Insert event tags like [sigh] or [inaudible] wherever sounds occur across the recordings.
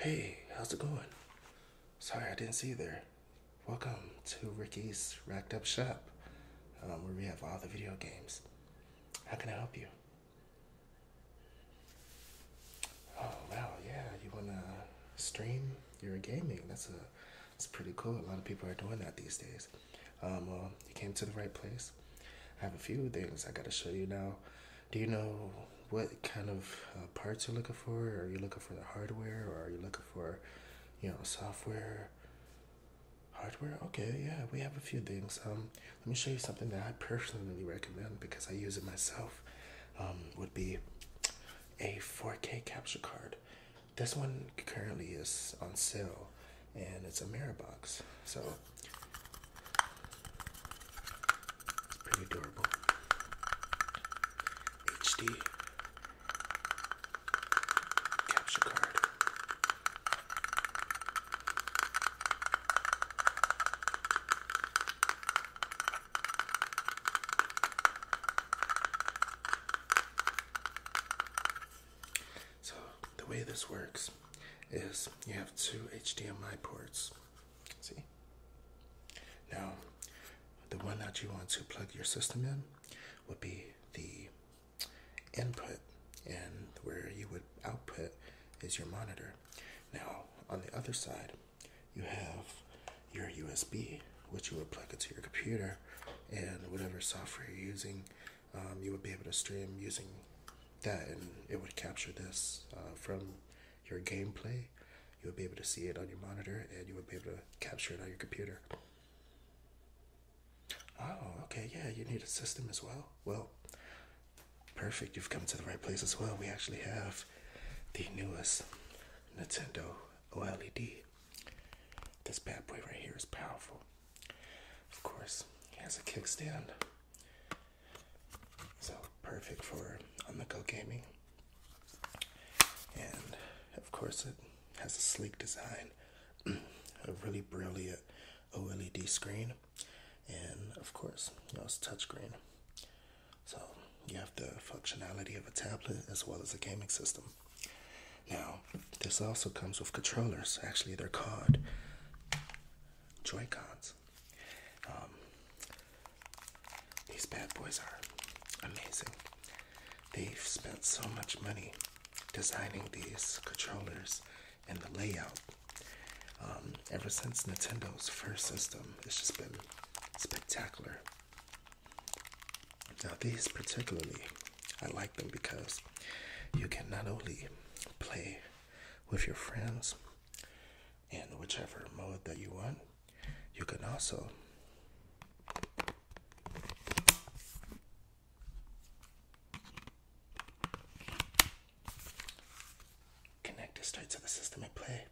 Hey, how's it going? Sorry, I didn't see you there. Welcome to Ricky's Racked Up Shop, um, where we have all the video games. How can I help you? Oh, wow, yeah, you wanna stream you're gaming. That's a it's pretty cool. A lot of people are doing that these days. Um, you came to the right place. I have a few things I gotta show you now. Do you know what kind of uh, parts you're looking for? Are you looking for the hardware, or are you looking for, you know, software? Hardware? Okay, yeah, we have a few things. Um, let me show you something that I personally recommend because I use it myself. Um, would be a 4K capture card this one currently is on sale and it's a mirror box so pretty durable HD capture card so, the way this works is you have two HDMI ports. See? Now, the one that you want to plug your system in would be the input, and where you would output is your monitor. Now, on the other side, you have your USB, which you would plug into your computer, and whatever software you're using, um, you would be able to stream using that, and it would capture this uh, from your gameplay. You would be able to see it on your monitor, and you would be able to capture it on your computer. Oh, okay, yeah, you need a system as well. Well, perfect, you've come to the right place as well. We actually have the newest Nintendo OLED this bad boy right here is powerful. Of course, it has a kickstand. So perfect for on the go gaming. And of course it has a sleek design, [clears throat] a really brilliant OLED screen, and of course, you know, it's touchscreen. So you have the functionality of a tablet as well as a gaming system. Now, this also comes with controllers. Actually, they're called Joycons. Um, these bad boys are amazing. They've spent so much money designing these controllers and the layout. Um, ever since Nintendo's first system, it's just been spectacular. Now, these particularly, I like them because you can not only play with your friends in whichever mode that you want, you can also connect it straight to the system and play.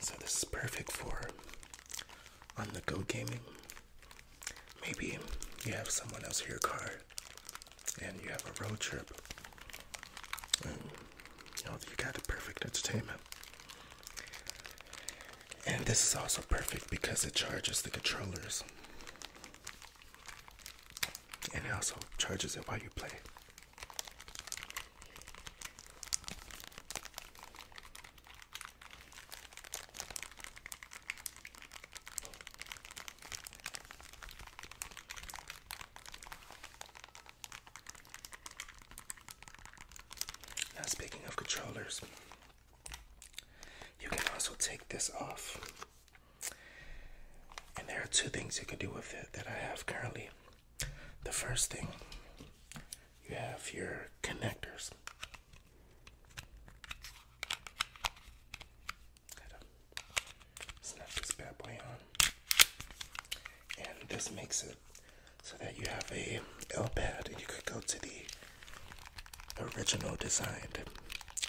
So, this is perfect for on the go gaming. Maybe you have someone else in your car and you have a road trip. And you know, you got the perfect entertainment. And this is also perfect because it charges the controllers. And it also charges it while you play. Now, speaking of controllers, you can also take this off. And there are two things you can do with it that I have currently. The first thing you have your connectors. snap this bad boy on. And this makes it so that you have a L pad and you could go to the original designed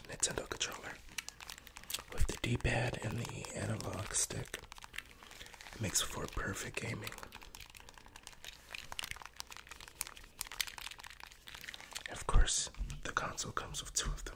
Nintendo controller with the D pad and the analog stick. It makes for perfect gaming. Of course, the console comes with two of them.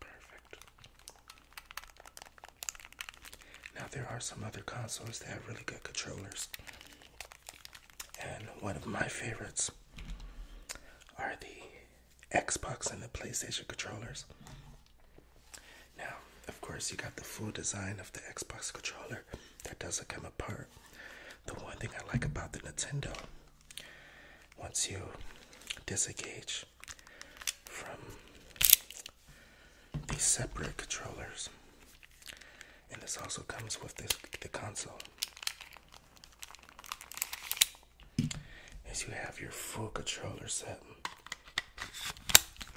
Perfect. Now, there are some other consoles that have really good controllers. And one of my favorites are the Xbox and the PlayStation controllers. Now, of course, you got the full design of the Xbox controller that doesn't come apart. The one thing I like about the Nintendo, once you disengage from these separate controllers, and this also comes with the console. As you have your full controller set,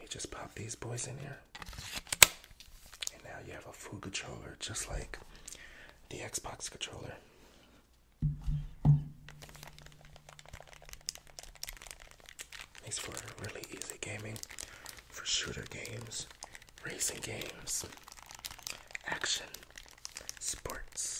you just pop these boys in here, and now you have a full controller just like the Xbox controller. Makes for really easy gaming for shooter games racing games, action, sports.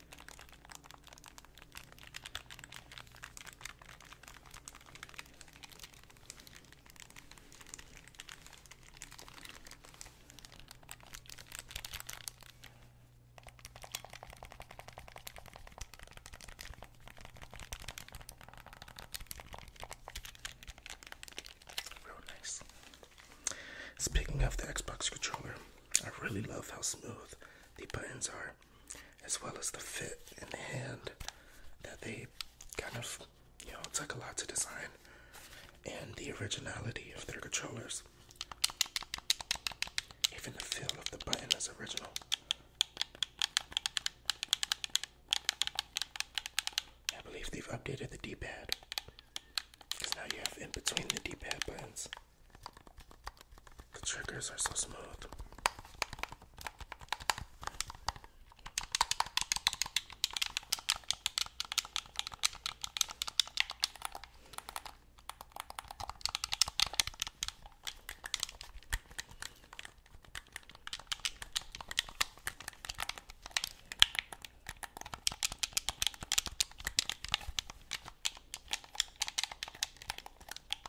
Real nice. Speaking of the Xbox controller, I really love how smooth the buttons are as well as the fit and hand that they kind of, you know, took a lot to design and the originality of their controllers. Even the feel of the button is original. I believe they've updated the D pad because now you have in between the D pad buttons the triggers are so smooth.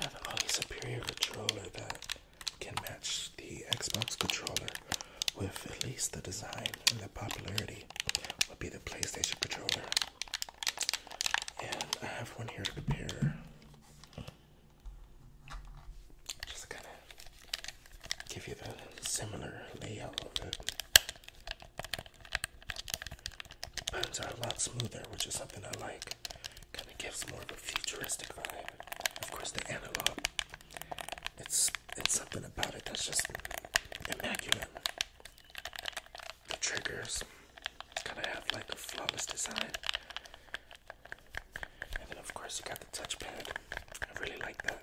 Now the only superior controller that can match the Xbox controller with at least the design and the popularity would be the PlayStation controller. And I have one here to compare. Just kind of give you the similar layout of it. Buttons are uh, a lot smoother, which is something I like. Kind of gives more of a futuristic vibe. Of course, the analog. It's it's something about it that's just immaculate. The triggers kind of have like a flawless design. And then of course you got the touchpad. I really like that.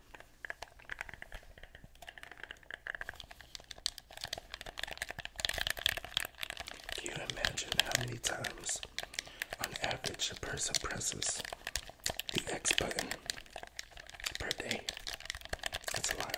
Can you imagine how many times, on average, a person presses the X button per day? That's a lot.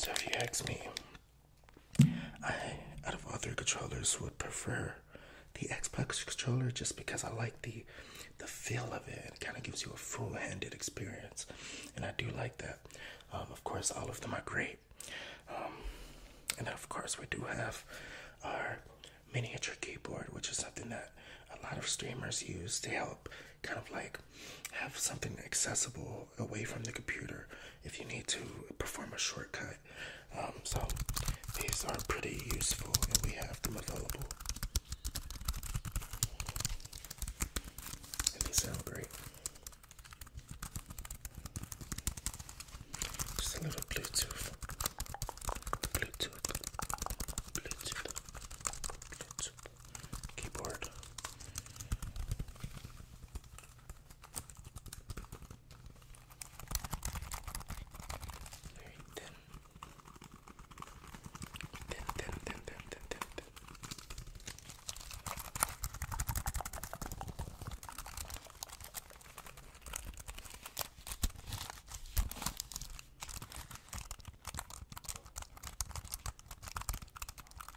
So if you ask me, I out of other controllers would prefer the Xbox controller just because I like the the feel of it. It kind of gives you a full-handed experience, and I do like that. Um, of course, all of them are great, um, and of course we do have our miniature keyboard, which is something that a lot of streamers use to help kind of like have something accessible away from the computer if you need to perform a shortcut. Um, so these are pretty useful, and we have them available. And they sound great. Just a little Bluetooth keyboard. Very thin. Thin, thin, thin, thin, thin, thin, thin.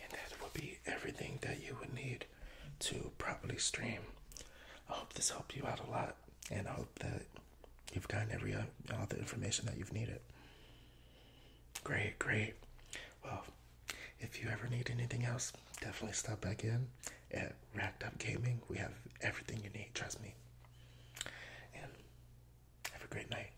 And that would be everything that you would need to properly stream. I hope this helped you out a lot, and I hope that you've gotten every uh, all the information that you've needed. Great, great. Well, if you ever need anything else, definitely stop back in at Racked Up Gaming. We have everything you need, trust me. And have a great night.